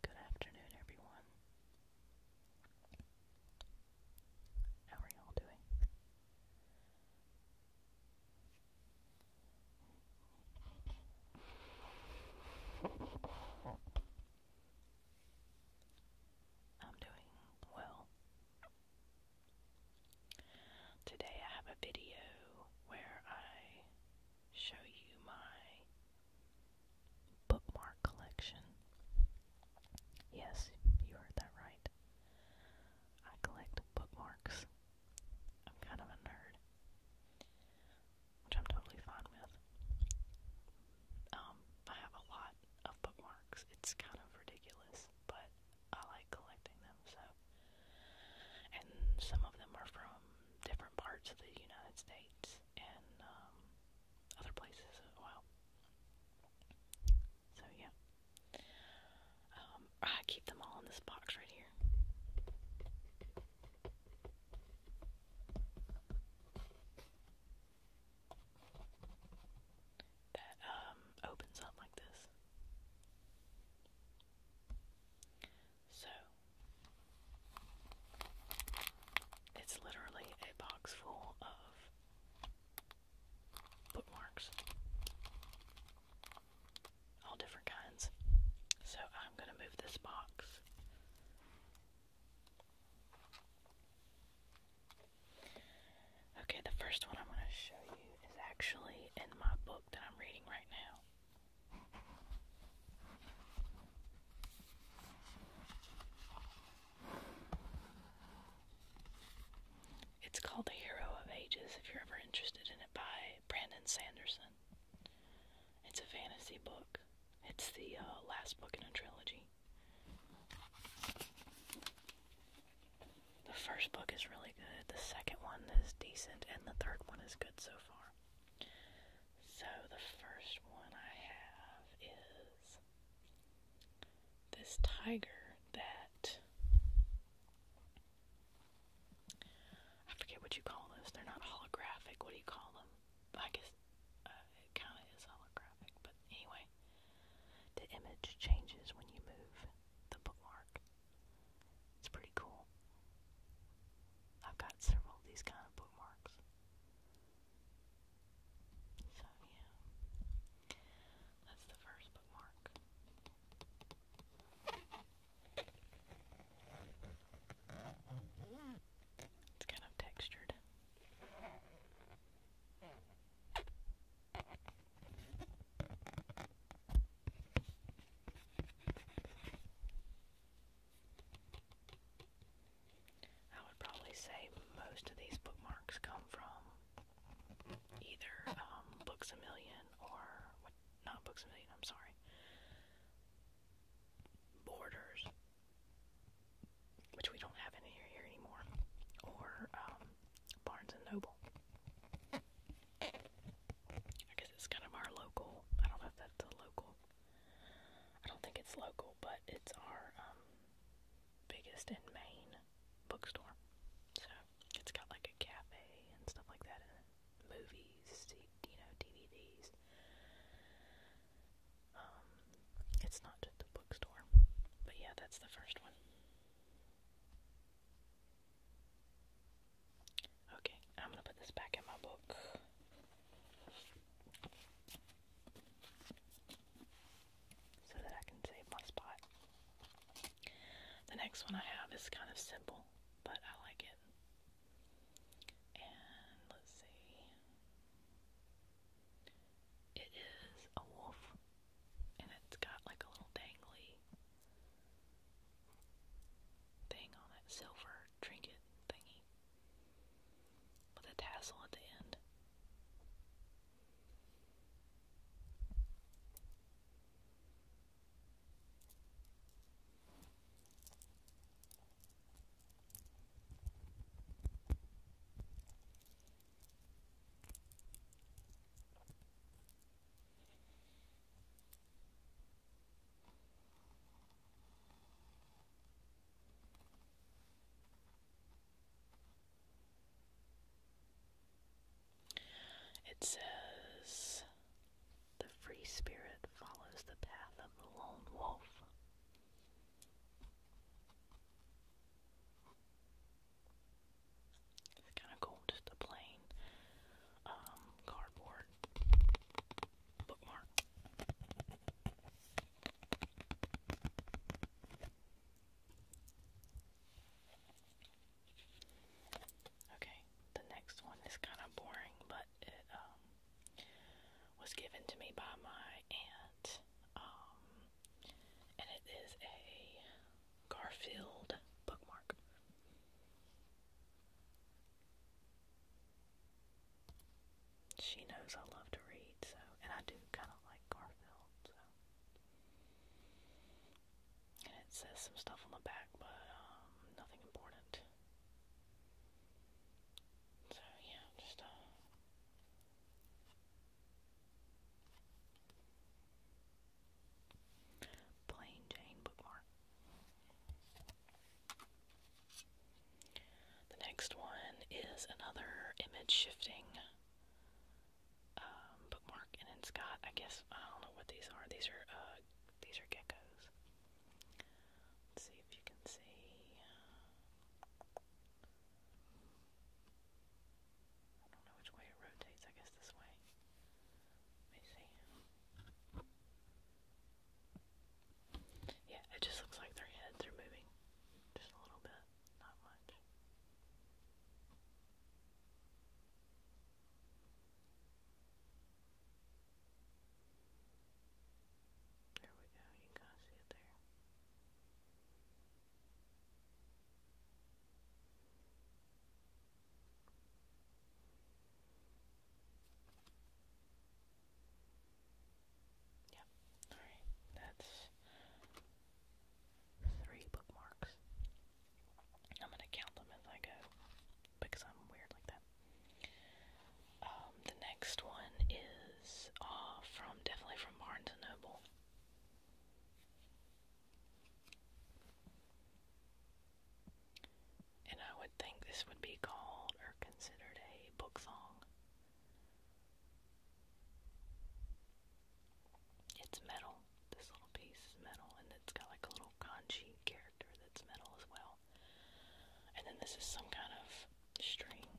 Good afternoon, everyone. How are y'all doing? I'm doing well. Today I have a video where I show you my bookmark collection. Yes, you heard that right. I collect bookmarks. I'm kind of a nerd which I'm totally fine with. Um, I have a lot of bookmarks. It's kind of ridiculous, but I like collecting them, so. And some of them are from different parts of the United States and um, other places as well. So, yeah. Um, I keep them all in this box right here that um opens up like this. So it's literally a box full of bookmarks. All different kinds. So I'm going to move this box Okay, the first one I'm going to show you is actually in my book that I'm reading right now. It's called The Hero of Ages, if you're ever interested in it, by Brandon Sanderson. It's a fantasy book. It's the uh, last book in a trilogy. The first book is really good, the second one is decent, and the third one is good so far. So, the first one I have is this tiger that. I forget what you call this. They're not holographic. What do you call them? I guess uh, it kind of is holographic, but anyway, the image changes when you move the bookmark. It's pretty cool. I've got several of these kind of bookmarks. So, yeah. That's the first bookmark. It's kind of textured. I would probably say most of these bookmarks come from either um, Books a Million or Not Books a Million. I'm sorry borders, which we don't have any here, here anymore, or um, Barnes and Noble. I guess it's kind of our local. I don't know if that's a local. I don't think it's local, but it's our um, biggest and main bookstore. So it's got like a cafe and stuff like that, and movies, you know, DVDs, um, it's not just bookstore. But yeah, that's the first one. Okay, I'm gonna put this back in my book. So that I can save my spot. The next one I have is kind of simple, but I like it. And let's see. It is a wolf, and it's got like a little dangly thing on it, silver trinket thingy with a tassel at the end. It says the free spirit follows the path of the lone wolf. It's kind of cool, just a plain um, cardboard bookmark. Okay, the next one is kind of boring, but it um, was given to me by my aunt, um, and it is a Garfield bookmark. She knows I love to read, so and I do kind of like Garfield, so. And it says some stuff on the back, but um, nothing important. So yeah, just uh plain Jane bookmark. The next one is another image shifting um, bookmark, and it's got I guess I don't know what these are. These are uh, these are geckos. Let's see if you can see. I don't know which way it rotates, I guess this way. Let me see. Yeah, it just looks like their heads are moving. Just a little bit, not much. There we go, you can kind of see it there. Yep, alright, that's three bookmarks. I'm gonna count them as I go because I'm weird like that. Um, the next one is uh, from definitely from Barnes and Noble. And I would think this would be called or considered a book song. It's metal. This little piece is metal, and it's got like a little kanji character that's metal as well. And then this is some kind of string.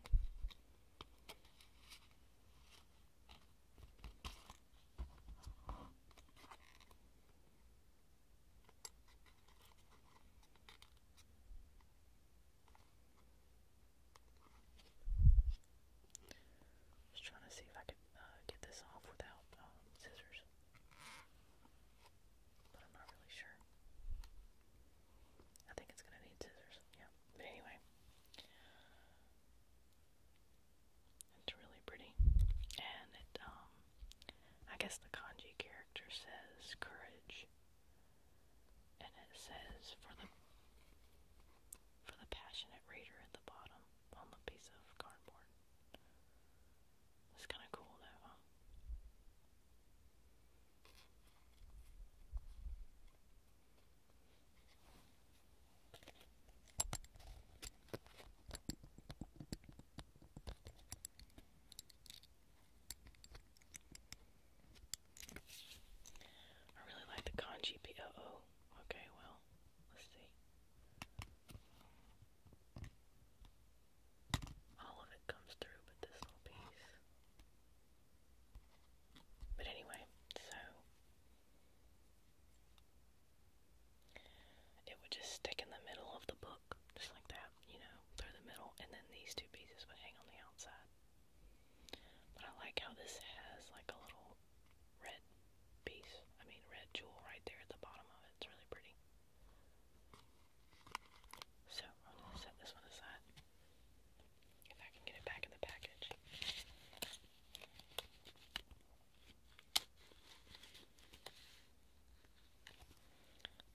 Just trying to see if I could uh, get this off without um, scissors but I'm not really sure. I think it's gonna need scissors, yeah. But anyway, it's really pretty, and it um, I guess the kanji character says courage, and it says for the for the passionate reader at the bottom on the piece of cardboard. That's kind of cool though, I really like the kanji P O O. Okay, well, let's see all of it comes through but this little piece. But anyway, so it would just stick in the middle of the book, just like that, you know, through the middle, and then these two pieces would hang on the outside. But I like how this has like a little red piece, I mean, red jewel right there at the bottom of it. It's really pretty. So I'm going to set this one aside. If I can get it back in the package.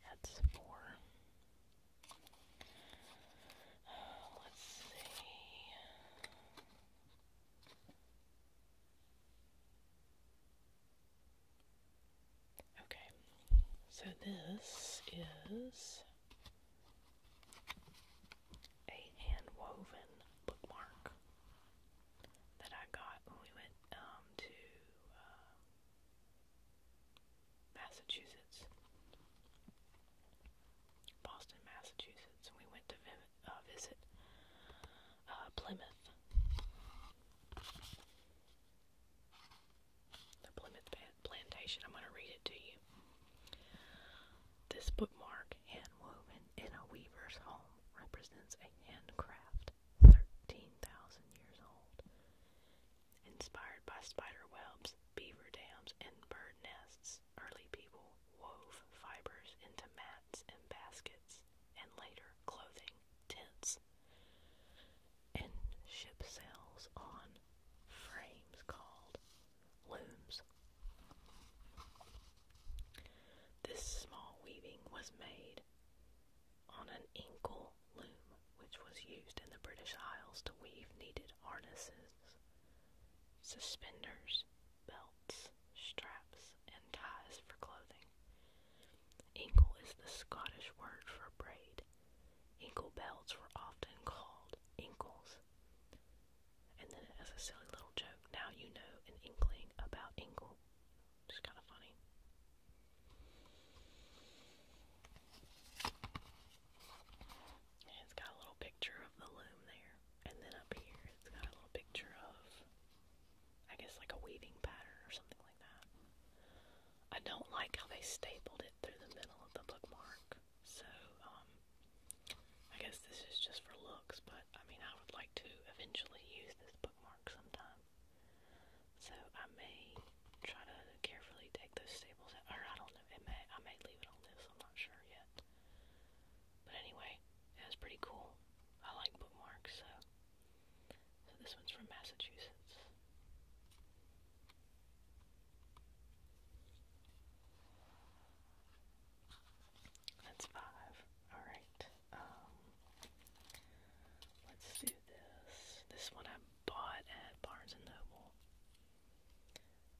That's four. let's see. Okay, so this is a hand woven bookmark that I got when we went um, to uh, Massachusetts, Boston, Massachusetts, and we went to uh, visit uh, Plymouth. The Plymouth Plantation. I'm going to read it to you. This bookmark, hand in a weaver's home, represents a handcraft 13,000 years old, inspired by spider webs, beaver dams, and bird nests. Early people wove fibers into mats and baskets, and later clothing, tents, and ship sails on frames called looms. This small weaving was made on an inkle loom, which was used in the British Isles to weave needed harnesses, suspenders, belts, straps, and ties for clothing. Ankle is the Scottish word for braid. Ankle belts were often called ankles. And then, as a silly little joke, now you know an inkling about ankle. It's kind of funny. it's got a little picture of the loom there. And then up here, it's got a little picture of, I guess, like a weaving pattern or something like that. I don't like how they stapled it through the middle of the bookmark. So, um, I guess this is just for looks, but I mean, I would like to eventually use this bookmark sometime. So I may try to carefully take those staples out, or I don't know, it may, I may leave it on this, I'm not sure yet. But anyway, it was pretty cool. I like bookmarks, so so this one's from Massachusetts. That's five. Alright. Um, let's do this. This one I bought at Barnes and Noble.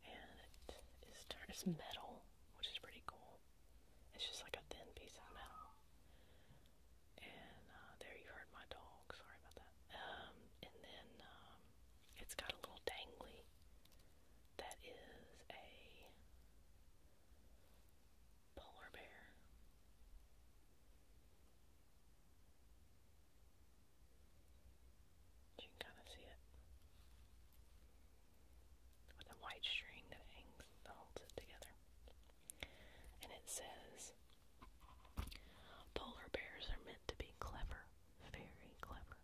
And it's metal, which is pretty cool. It's just like a thin piece of metal and uh, there you heard my dog. Sorry about that. Um, and then um, it's got a little dangly. That is a polar bear. You can kind of see it with a white string that hangs that holds it together. And it says polar bears are meant to be clever, very clever.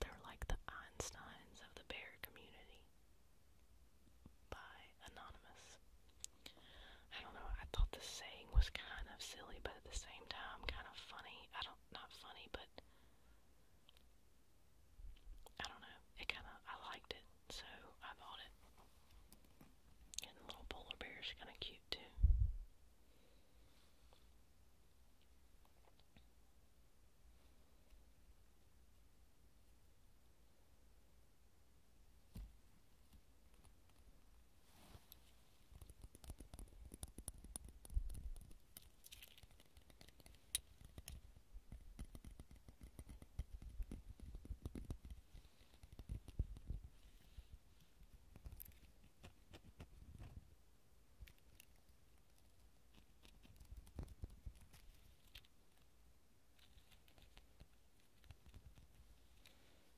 They're like the Einsteins of the bear community. By Anonymous. I don't know, I thought the saying was kind of silly, but at the same time kind of funny. I don't, not funny, but I don't know. It kind of, I liked it so I bought it. And the little polar bear is kind of cute too.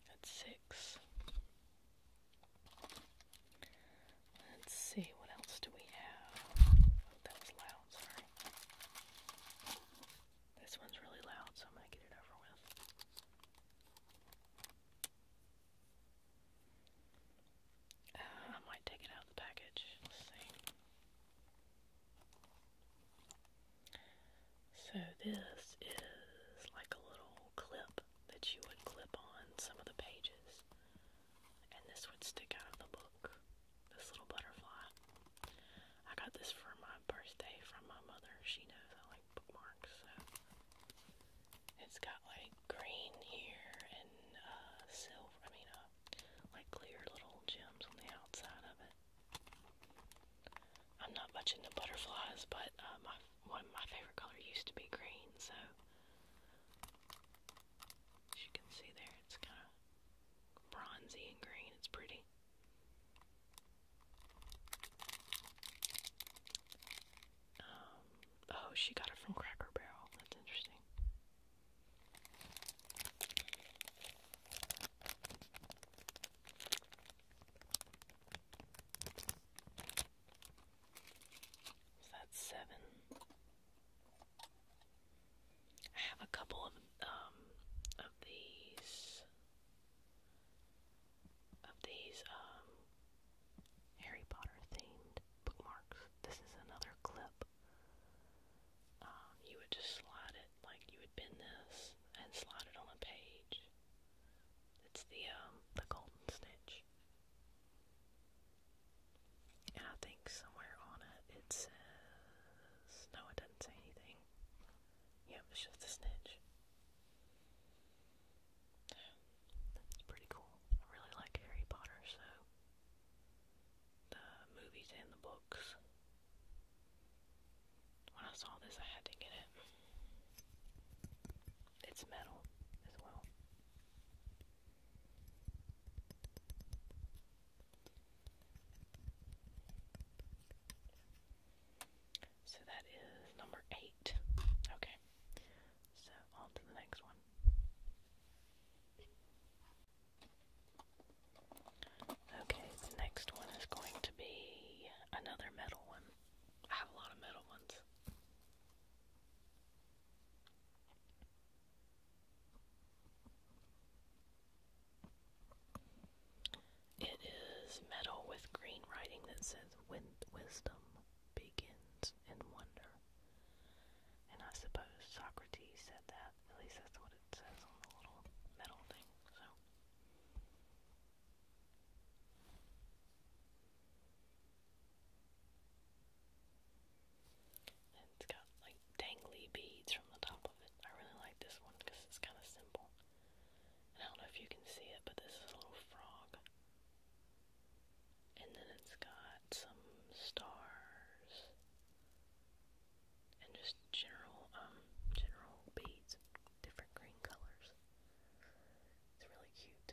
That's six. Let's see, what else do we have? Oh, that was loud, sorry. This one's really loud, so I'm going to get it over with. Uh, I might take it out of the package. Let's see. So this is like a little clip that you would clip on some of the pages. And this would stick out of the book. This little butterfly. I got this for my birthday from my mother. She knows I like bookmarks, so it's got like green here and uh, silver. I mean, uh, like clear little gems on the outside of it. I'm not much into butterflies, but uh, my one my favorite color used to be green, so as you can see there, it's kind of bronzy and green. It's pretty. Um, oh, she got it from Cracker Barrel. That's interesting. So that's seven. I have a couple of um, of these of these um, Harry Potter themed bookmarks. This is another clip. Um, you would just slide it like you would bend this and slide it on a page. It's the the golden snitch. And I think somewhere on it it says no, it doesn't say anything. Yep, she's the snitch. Yeah, that's pretty cool. I really like Harry Potter, so the movies and the books. When I saw this, I had to get it. It's metal as well. So that is number eight. Okay, so on to the next one. Okay, the next one is going to be another metal one. I have a lot of metal ones. It is metal with green writing that says wisdom begins in wonder. And I suppose Socrates said that. At least that's what it says on the little metal thing. So and it's dangly beads from the top of it. I really like this one because it's kind of simple. I don't know if you can see it, but this is a little frog. And then it's got some stars and just general, um, general beads, different green colors. It's really cute.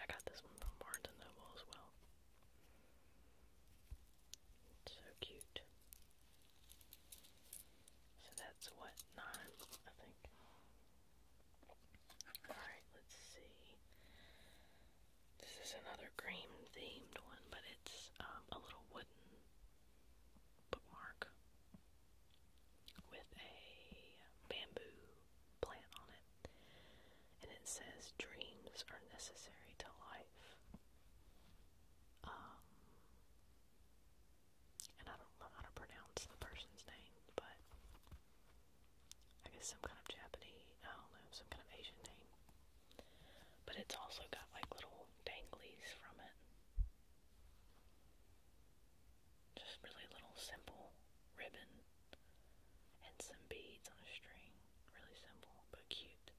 I got this one from Barnes and Noble as well. so cute. So that's what, nine, I think. Alright, let's see. This is another cream themed one, but it's um, a little wooden bookmark with a bamboo plant on it, and it says, Dreams are necessary to life. Um, and I don't know how to pronounce the person's name, but I guess some kind of Japanese, I don't know, some kind of Asian name. But it's also got like little danglies from it. Just really little simple ribbon and some beads on a string. Really simple but cute.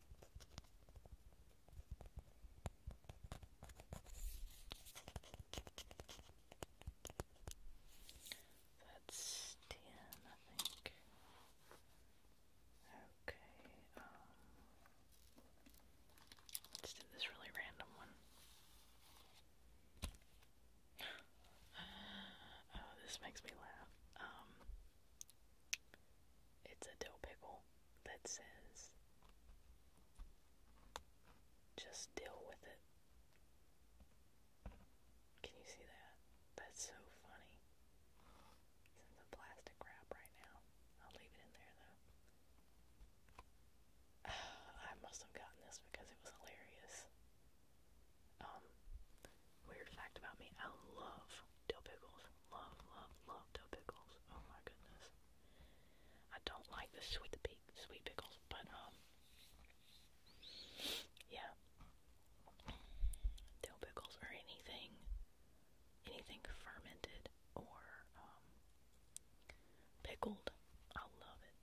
That's ten, I think. Okay, um, let this really random one. Uh, oh, this makes me laugh. Um, it's a dill pickle that says just deal with it. Can you see that? That's so funny. It's in the plastic wrap right now. I'll leave it in there though. I must have gotten this because it was hilarious. Um, Weird fact about me, I love dill pickles. Love, love, love dill pickles. Oh my goodness. I don't like the sweet sweet pickles, but um yeah. Dill pickles or anything anything fermented or um, pickled. I love it.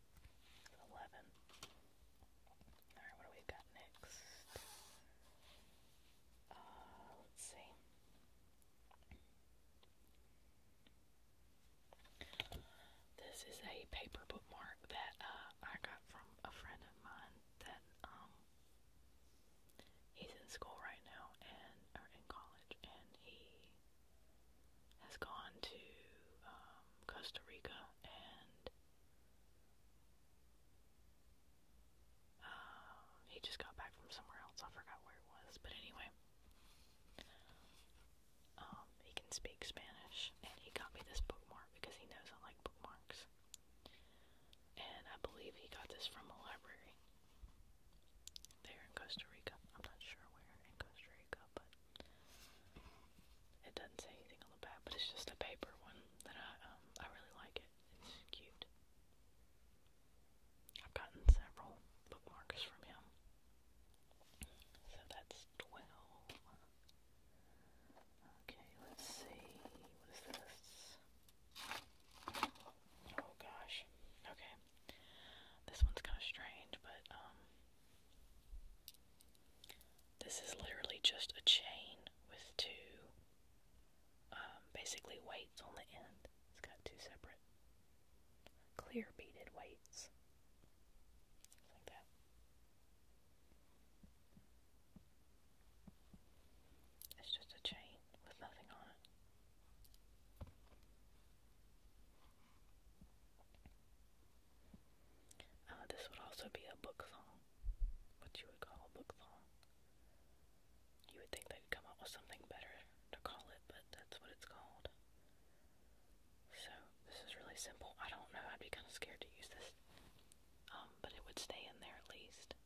eleven. Alright, what do we got next? Uh, let's see. This is a paper bookmark that uh, I got from a friend of mine that um, he's in school right now and or in college and he has gone to um, Costa Rica and um, he just got back from somewhere else. I forgot where it was, but anyway, um, he can speak Spanish, and he got me this bookmark because he knows I like bookmarks, and I believe he got this from a library there in Costa Rica. I'm not sure where in Costa Rica, but it doesn't say anything on the back, but it's just a paper one that I um, I really like it. It's cute. I've gotten several bookmarks from him. So that's twelve. Okay, let's see. What is this? Oh gosh. Okay. This one's kind of strange, but um, this is literally just a chain with two um, basically weights on the end. It's got two separate clear beaded weights. Like that. It's just a chain with nothing on uh, this would also be a book song, what you would call a book song. You would think they'd come up with something better to call it, but that's what it's called. So, this is really simple. I don't know, I'd be kind of scared to use this, um, but it would stay in there at least.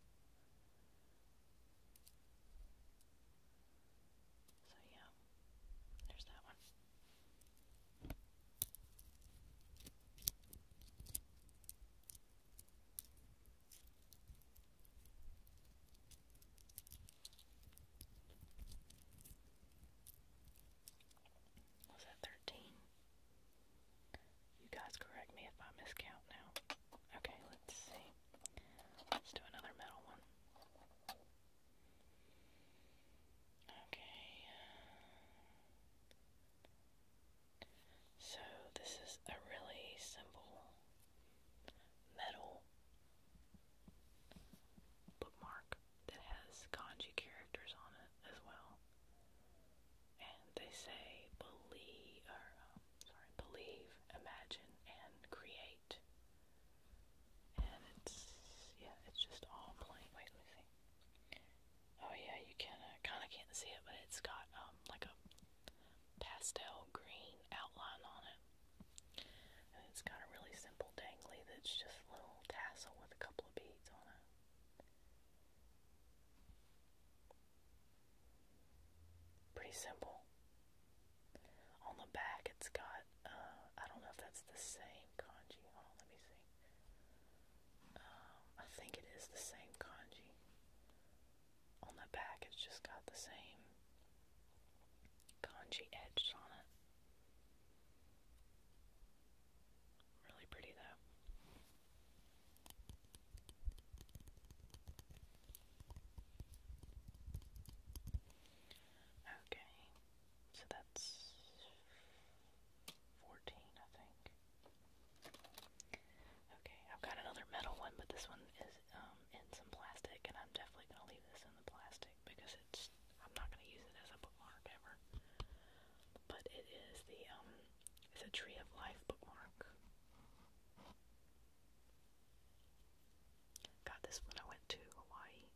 So yeah, there's that one. Was that thirteen? You guys correct me if I miscount now. Okay, let's see. Let's do another metal one. Okay. So, this is a really simple metal bookmark that has kanji characters on it as well. And they say believe, um, sorry, believe, imagine, and create. And it's, yeah, it's just all plain. Wait, Oh yeah, you can, uh, kind of can't see it, but it's got um, like a pastel green outline on it. And it's got a really simple dangly that's just a little tassel with a couple of beads on it. Pretty simple. On the back, it's got, uh, I don't know if that's the same kanji. let me see. Um, I think it is the same kanji. On the back, it's just got the same kanji edged on it. Really pretty, though. Okay, so that's 14, I think. Okay, I've got another metal one, but this one is um, in some plastic, and I'm definitely going to leave this in the plastic because it's I'm not going to use it as a bookmark ever. But it is the um, it's a Tree of Life bookmark. Got this when I went to Hawaii.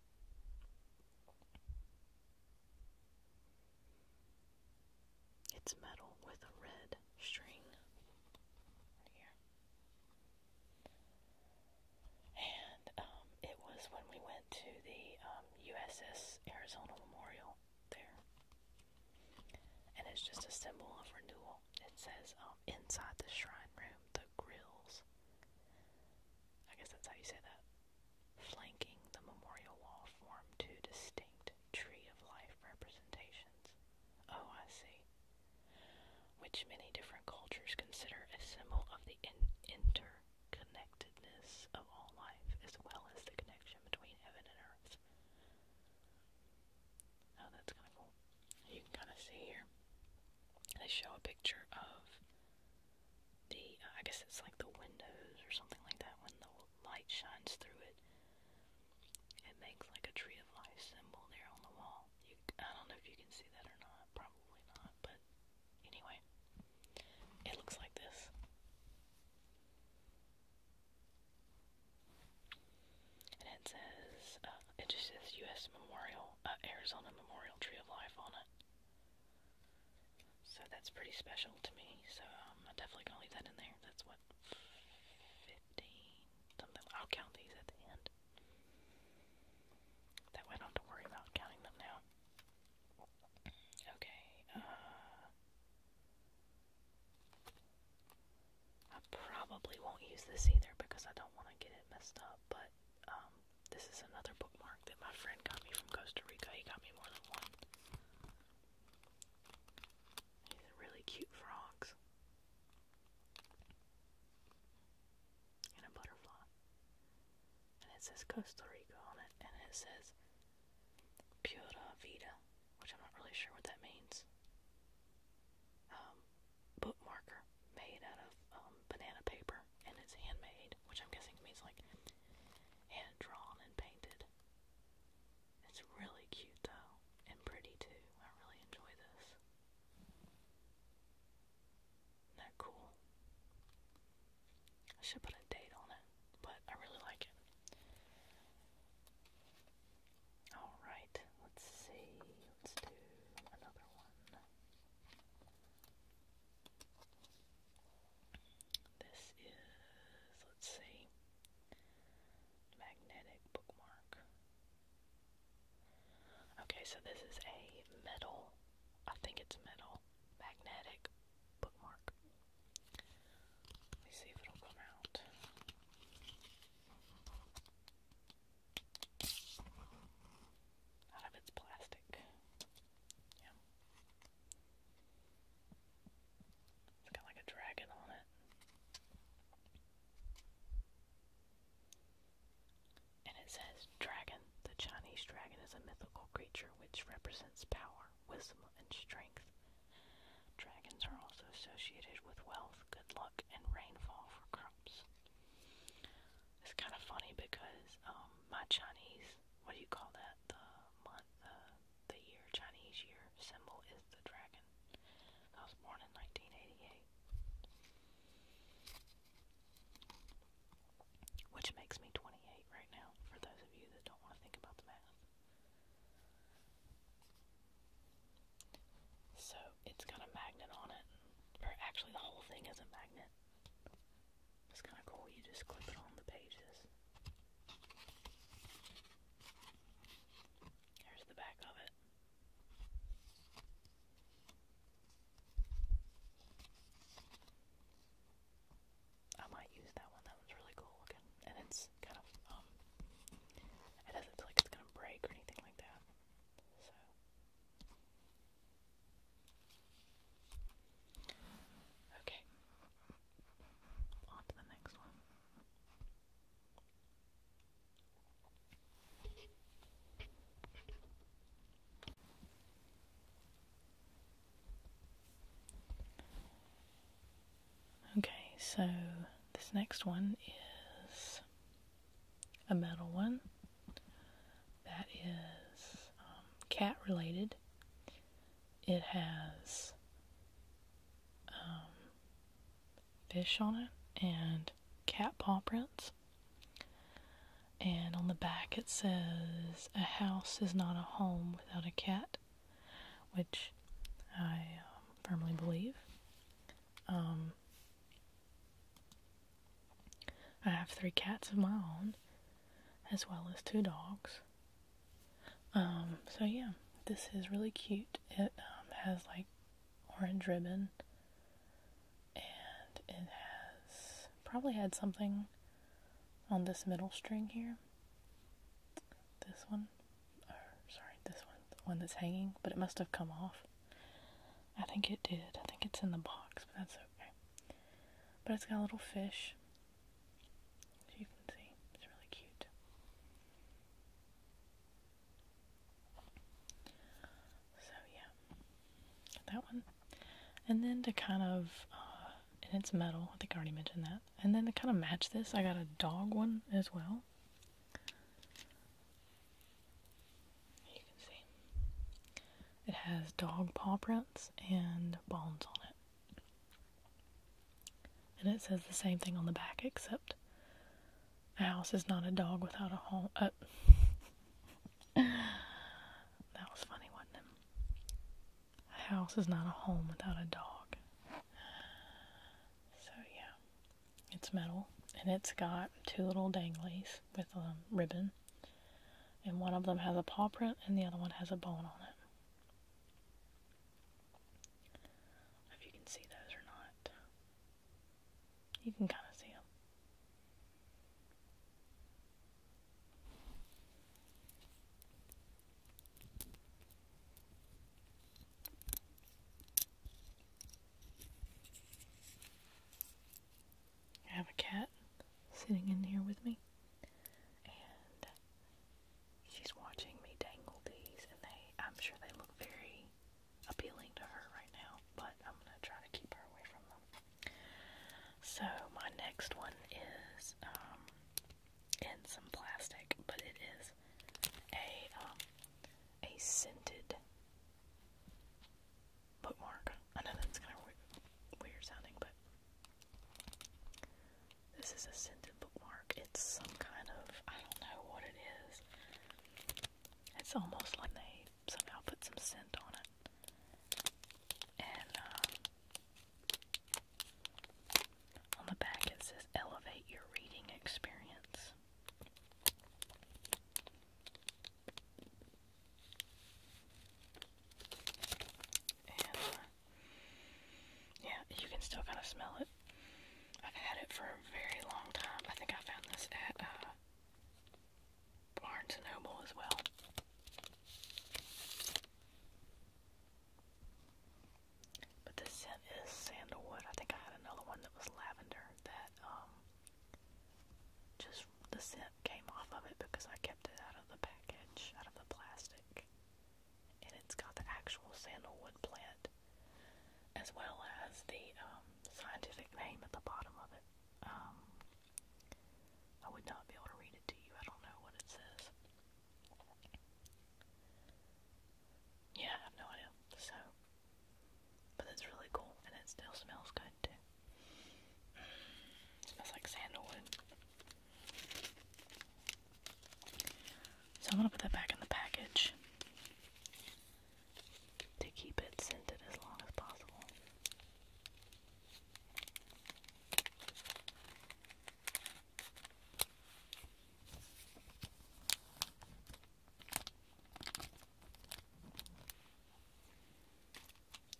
It's metal with a red string here. And um, it was when we went to the USS um, Arizona Memorial there. And it's just a symbol of renewal. It says um, inside the shrine room, the grills I guess that's how you say that. Flanking the memorial wall form two distinct tree of life representations. Oh, I see. Which many different cultures consider a symbol of the interconnectedness of all life, as well as the connection between heaven and earth. Oh, that's kind of cool. You can kind of see here. They show a picture of the uh, I guess it's like the windows or something like that when the light shines through it it makes like a tree of life symbol there on the wall I don't know if you can see that or not probably not but anyway it looks like this and it says uh, it just says U.S. Memorial, uh, Arizona Memorial Tree of Life on it. So that's pretty special to me. So um, I'm definitely gonna leave that in there. That's what fifteen something. I'll count these at the end. That way I don't have to worry about counting them now. Okay. Uh, I probably won't use this either because I don't want to get it messed up. But um, this is another bookmark that my friend got me from Costa Rica. He got me more than one. really cute frogs. And a butterfly. And it says Costa Rica on it, and it says Pura Vida, which I'm not really sure what that means. Um, bookmarker made out of um, banana paper, and it's handmade, which I'm guessing means like hand drawn and painted. It's really cute though, and pretty too. I really enjoy this. is cool? I should put a date on it, but I really like it. Alright, let's see. Let's do another one. This is, let's see, magnetic bookmark. Okay, so this is a metal, I think it's metal, magnetic bookmark. Let me see if it'll come out out of its plastic. It's got like a dragon on it. And it says, Dragon. The Chinese dragon is a mythical creature which represents power, wisdom, and strength. Dragons are also associated with wealth, good luck, and rainfall for crops. It's kind of funny because um, my Chinese, what do you call that? The month, uh, the year, Chinese year symbol is the dragon. I was born in 1988. Which makes me 28 right now, for those of you that don't want to think about the math. So, it's got a magnet on it. Or actually, the whole thing is a magnet. It's kind of cool. You just clip it on the pages. Here's the back of it. I might use that one. That one's really cool looking, and it's kind of um, it doesn't feel like it's gonna break or anything like that. So Okay. On to the next one. Okay, so this next one is a metal one that is um, cat related. It has um, fish on it and cat paw prints. And on the back it says, A house is not a home without a cat, which I um, firmly believe. I have three cats of my own, as well as two dogs. Um, so yeah, this is really cute. It um, has like orange ribbon, and it has probably had something on this middle string here. This one, oh sorry, this one, the one that's hanging, but it must have come off. I think it did. I think it's in the box, but that's okay. But it's got a little fish. As you can see, it's really cute. So, yeah. that one. And then to kind of, uh, it's metal. I think I already mentioned that. And then to kind of match this, I got a dog one as well. You can see. It has dog paw prints and bones on it. And it says the same thing on the back, except a house is not a dog without a home. Uh, that was funny, wasn't it? A house is not a home without a dog. So, yeah. It's metal and it's got two little danglies with a ribbon. And one of them has a paw print and the other one has a bone on it. If you can see those or not. You can kind of see them. I have a cat sitting in here with me, and she's watching me dangle these, and they—I'm sure they look very appealing to her right now. But I'm gonna try to keep her away from them. So my next one is um, in some plastic, but it is a um, a scented put I know that's kind of weird, sounding, but this is a scented bookmark. It's some kind of I don't know what it is. It's almost like they somehow put some scent on it, and uh, on the back it says "Elevate Your Reading Experience." And uh, yeah, you can still kind of smell it. I've had it for a very long time. I think I found this at uh, Barnes and Noble as well. But this scent is sandalwood. I think I had another one that was lavender that um just the scent came off of it because I kept it out of the package, out of the plastic. And it's got the actual sandalwood plant as well as the um, scientific name at the bottom of it. Um, I would not be able to read it to you. I don't know what it says. Yeah, I have no idea. So, but it's really cool and it still smells good too. smells like sandalwood. So I'm gonna put that back in the package to keep it scented as long as possible.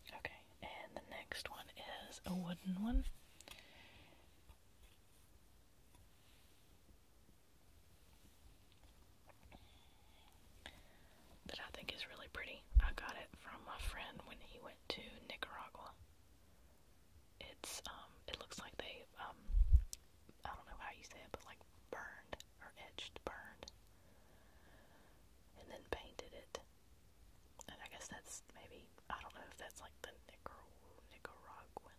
Okay, and the next one is a wooden one. That I think is really pretty. I got it from my friend when he went to Nicaragua. It's um, it looks like they um, I don't know how you say it, but like burned or etched, burned, and then painted it. And I guess that's maybe I don't know if that's like the Nicar Nicaraguan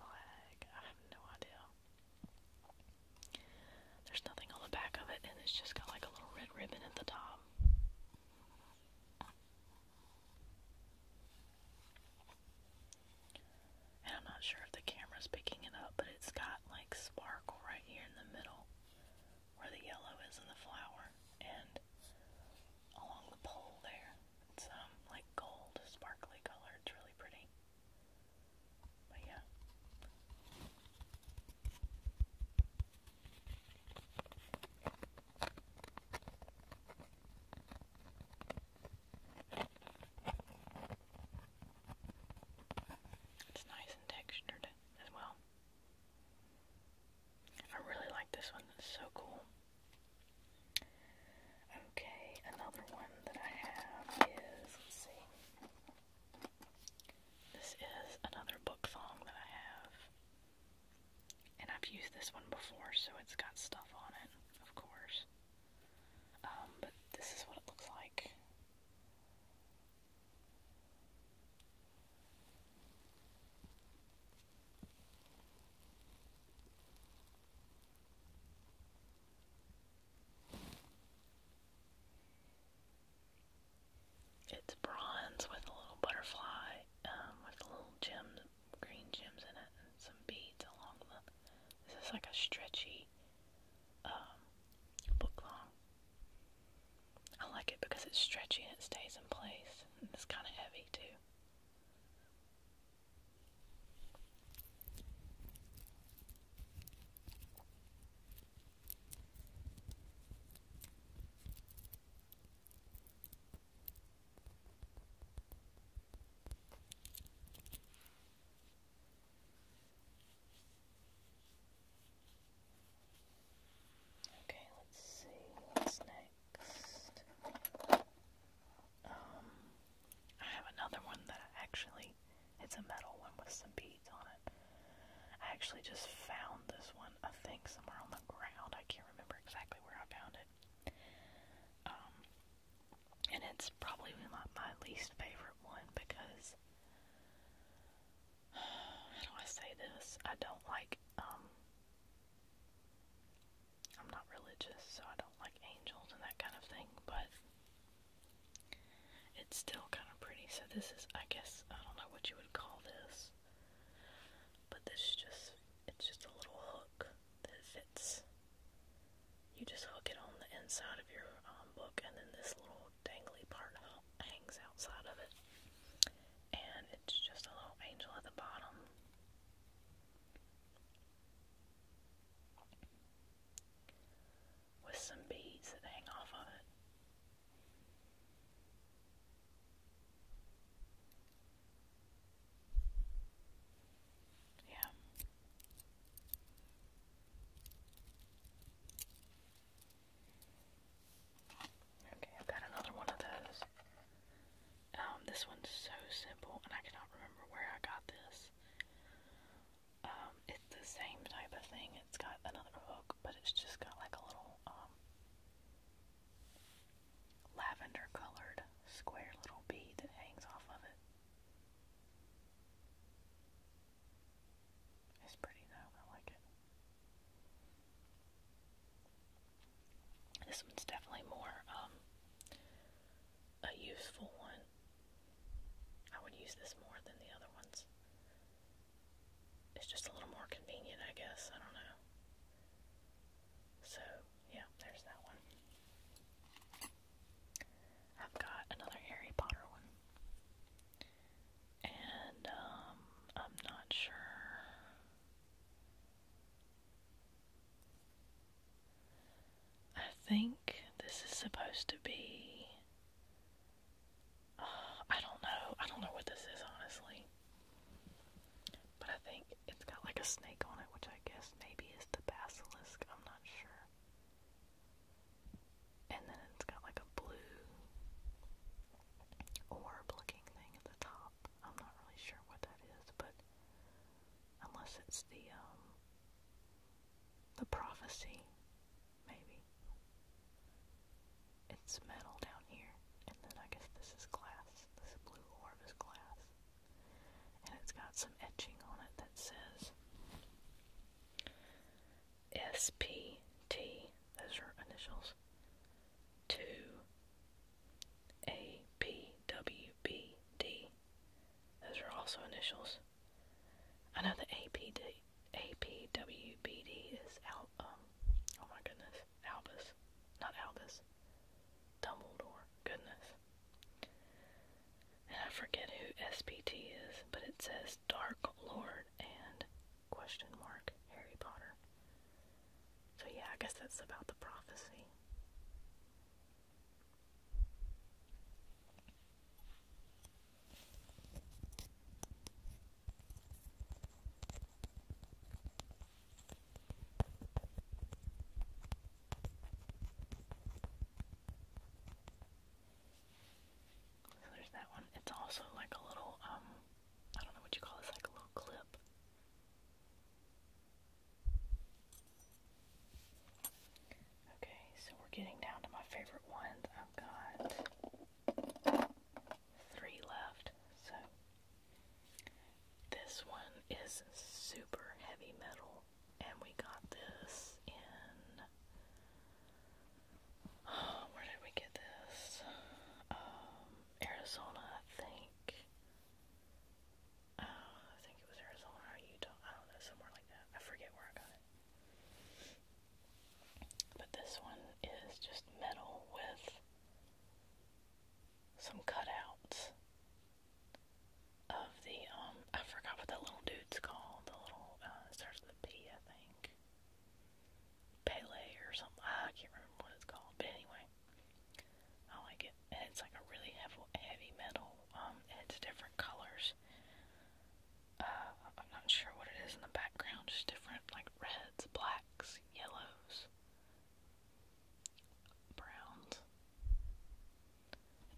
flag. I have no idea. There's nothing on the back of it, and it's just got like a little red ribbon at the top. And I'm not sure if the camera's picking it up, but it's got like sparkle right here in the middle where the yellow is in the flower and along the pole there. It's um like gold, sparkly color. It's really pretty. But yeah. It's nice and textured as well. I really like this one. It's so cool. Okay, another one that I have is, let's see. This is another book thong that I have. And I've used this one before, so it's got stuff on it, of course. Um, but this is what it looks like. It's bronze with a little butterfly, um, with little gem, green gems in it, and some beads along the. This is like a stretchy um, book long. I like it because it's stretchy and it stays in place. And it's kind of heavy too. Okay, let's see what's next. Um, I have another one that actually, it's a metal one with some beads on it. I actually just found this one, I think, somewhere on the ground. I can't remember exactly where I found it. Um, and it's probably my, my least favorite one because how do I say this? I don't like um, I'm not religious, so I don't like angels and that kind of thing, but it's still kind of pretty. So this is I guess I don't know what you would call this. But this just it's just a little hook that fits you just hook it on the inside of your um, book, and then this little dangly part hangs outside of it. And it's just a little angel at the bottom. With some beads that hang off of it. Yeah. Okay, I've got another one of those. Um, this one's so simple, and I cannot remember where I got this. Um, it's the same type of thing. It's got another hook, but it's just got like a little, um, lavender colored square little bead that hangs off of it. It's pretty now, I like it. This one's definitely more um, a useful one. I would use this more than the other ones. It's just a little more convenient, I guess. I don't know. So, yeah, there's that one. I've got another Harry Potter one. And, um, I'm not sure. I think this is supposed to be. I don't know. I don't know what this is, honestly. But I think it's got like a snake on it, which I guess maybe is the basilisk. I'm not sure. And then it's got like a blue orb looking thing at the top. I'm not really sure what that is, but unless it's the um the prophecy, maybe. It's metal down here, and then I guess this is glass. This blue orb is glass. And it's got some etching on it that says SPT, those are initials, to APWBD, those are also initials. I know the APD, APWBD is out, um, oh my goodness, Albus, not Albus, Dumbledore, goodness. I forget who SPT is, but it says Dark Lord and question mark Harry Potter. So yeah, I guess that's about the prophecy. So there's that one. It's also like a little, um, I don't know what you call this, like a little clip. Okay, so we're getting down to my favorite ones. I've got three left. So this one is super heavy metal and we got this in. where did we get this? Um, Arizona, I think. Uh, I think it was Arizona Utah. I don't know, somewhere like that. I forget where I got it. But this one is just metal with some cutouts of the um I forgot what that little dude's called. The little uh, starts with a P I think. Pele or something. Ah, I can't remember what it's called. But anyway. I like it. And it's like a really heavy heavy metal, um, it's different colors. Uh I'm not sure what it is in the background, just different like reds, blacks, yellows, browns.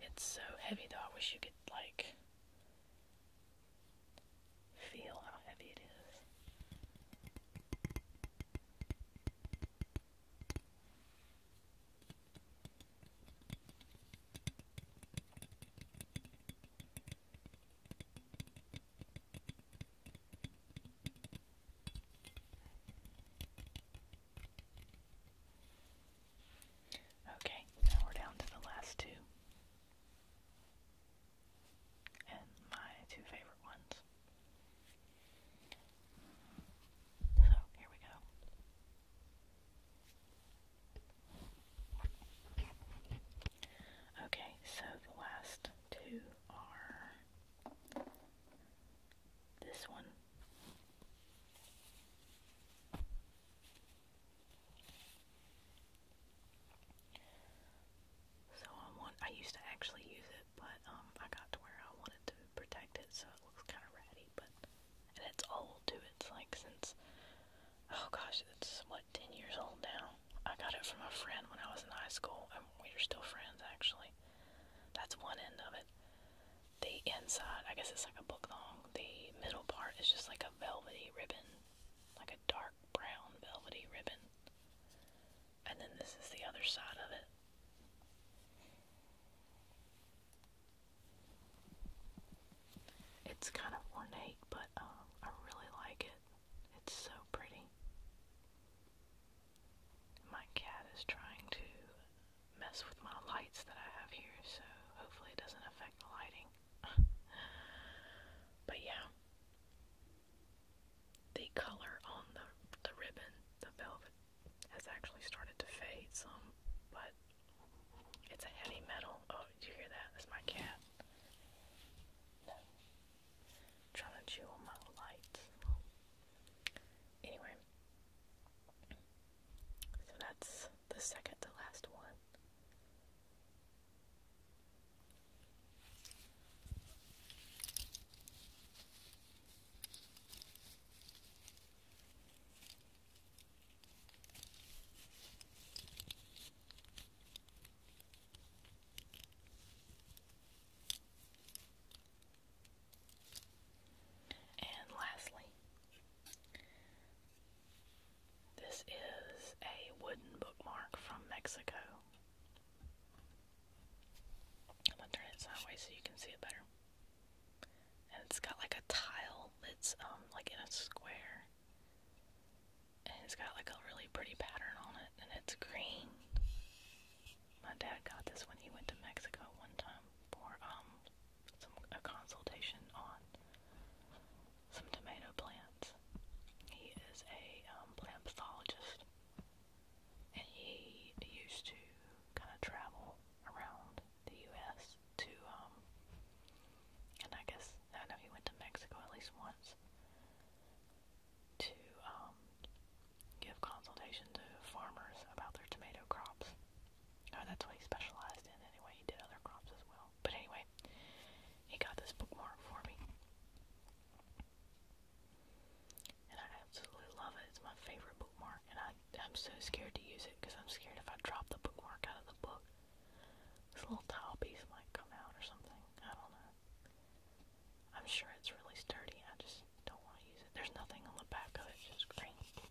It's so heavy though, I wish you could like feel how heavy it is. Okay, now we're down to the last two. And my two favorite ones. So, here we go. Okay, so the last two are this one so I want I used to actually use it, but um I got to where I wanted to protect it so it looks kinda ratty, but and it's old too, it's like since oh gosh, it's what, ten years old now. I got it from a friend when I was in high school and we are still friends actually. That's one end of it the inside, I guess it's like a book long. the middle part is just like a velvety ribbon, like a dark brown velvety ribbon. And then this is the other side of it. It's kind of ornate, but um, I really like it. It's so pretty. My cat is trying to mess with my lights that I have here, so hopefully it doesn't affect the lighting. but yeah, the color on the, the ribbon, the velvet, has actually started to fade some, but it's a heavy metal. Oh, did you hear that? That's my cat. trying to chew on my lights. Anyway, so that's the second to last one. And lastly, this is a wooden bookmark from Mexico. I'm gonna turn it sideways so you can see it better. And it's got like a tile that's um like in a square. And it's got like a really pretty pattern on it and it's green. My dad got this when he went to Mexico one time for um some a consultation on some tomato plants. He is a um, plant pathologist, and he used to kind of travel around the U.S. to, um, and I guess I know he went to Mexico at least once to um, give consultation to farmers about their tomato crops. Oh, that's what he specialized in anyway. He did other crops as well. But anyway, he got this bookmark for me. And I absolutely love it. It's my favorite bookmark. And I, I'm so scared to use it because I'm scared if I drop the bookmark out of the book, this little tile piece might come out or something. I don't know. I'm sure it's really sturdy. I just don't want to use it. There's nothing on the back of it, just green.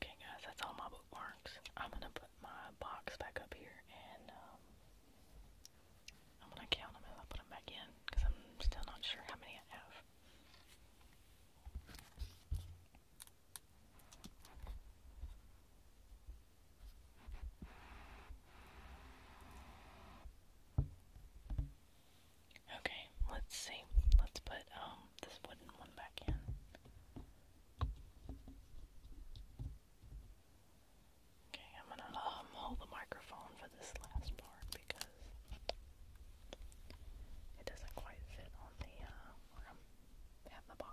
Okay guys, that's all my bookmarks. I'm gonna put my box back up here and um, I'm gonna count them as I put them back in because I'm still not sure how many I have. Okay, let's see. Let's put um, this wooden one back in. Okay, I'm gonna um, hold the microphone for this last part because it doesn't quite fit on the uh, the box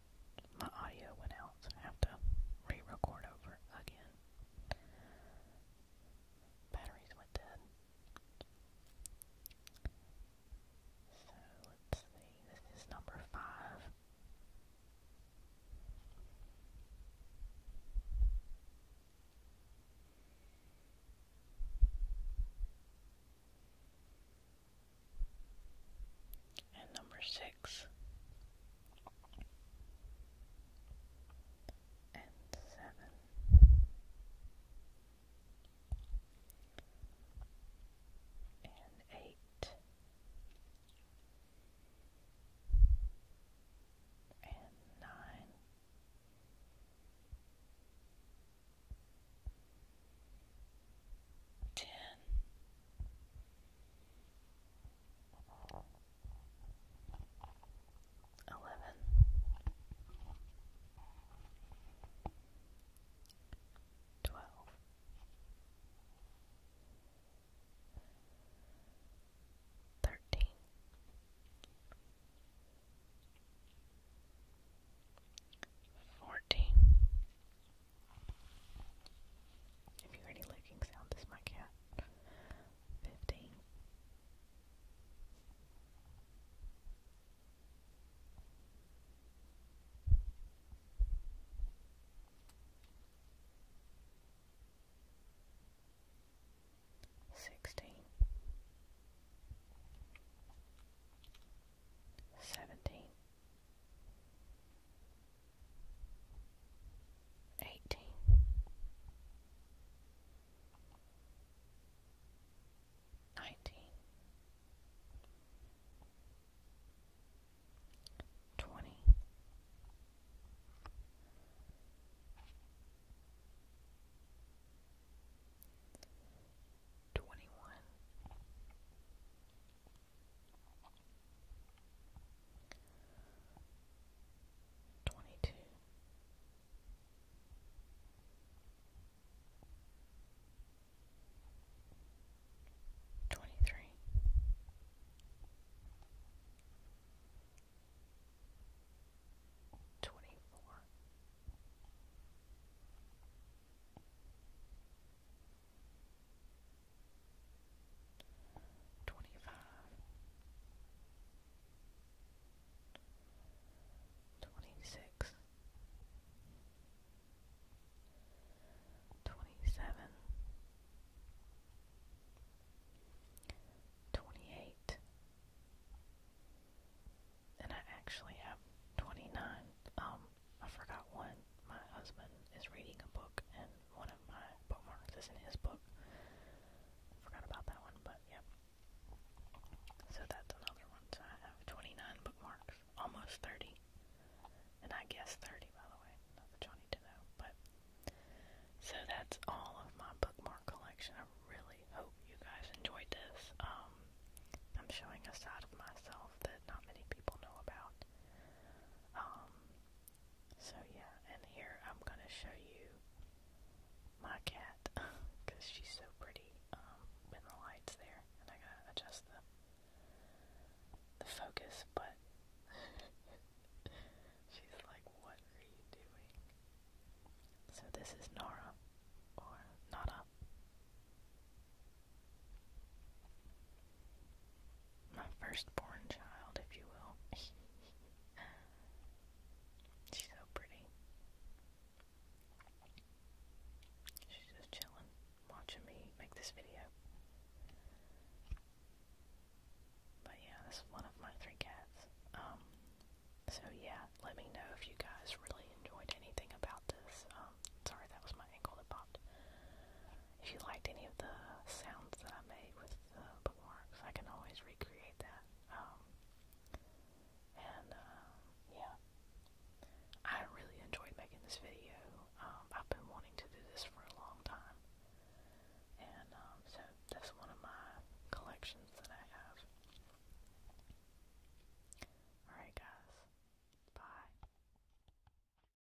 my audio went out, so I have to re-record over again. Batteries went dead. So let's see, this is number five. And number six. And seven. And eight. And nine eleven, twelve, thirteen, fourteen. If you hear any licking sound, this is my cat. Fifteen. Seventeen eighteen, nineteen, twenty. Twenty one, twenty two. Twenty three, twenty four, twenty-five, twenty-six, twenty-seven, twenty-eight, and I actually have twenty-nine. Um, I forgot one my husband is reading a book, and one of my bookmarks is in his book. Forgot about that one, but yeah. So that's another one. So I have 29 bookmarks, almost 30. And I guess 30, by the way, not that y'all need to know. But so that's all of my bookmark collection. I really hope you guys enjoyed this. Um, I'm showing a side of myself that not many people know about. Um, so yeah, and here I'm gonna show you my cat because she's so pretty um, the light's there, and I gotta adjust the the focus, but she's like, "What are you doing?" So this is Nara or Nada my firstborn child, if you will. She's so pretty. She's just chilling, watching me make this video. But yeah, this is one of my three cats. Um, so yeah, let me know if you guys really enjoyed anything about this. Um, sorry, that was my ankle that popped. If you liked any of the sounds that I made with uh, the bookmarks, I can always recreate that. Um, and uh, yeah, I really enjoyed making this video. Um, I've been wanting to do this for a long time, and um, so that's one of my collections that I have. Alright, guys, bye.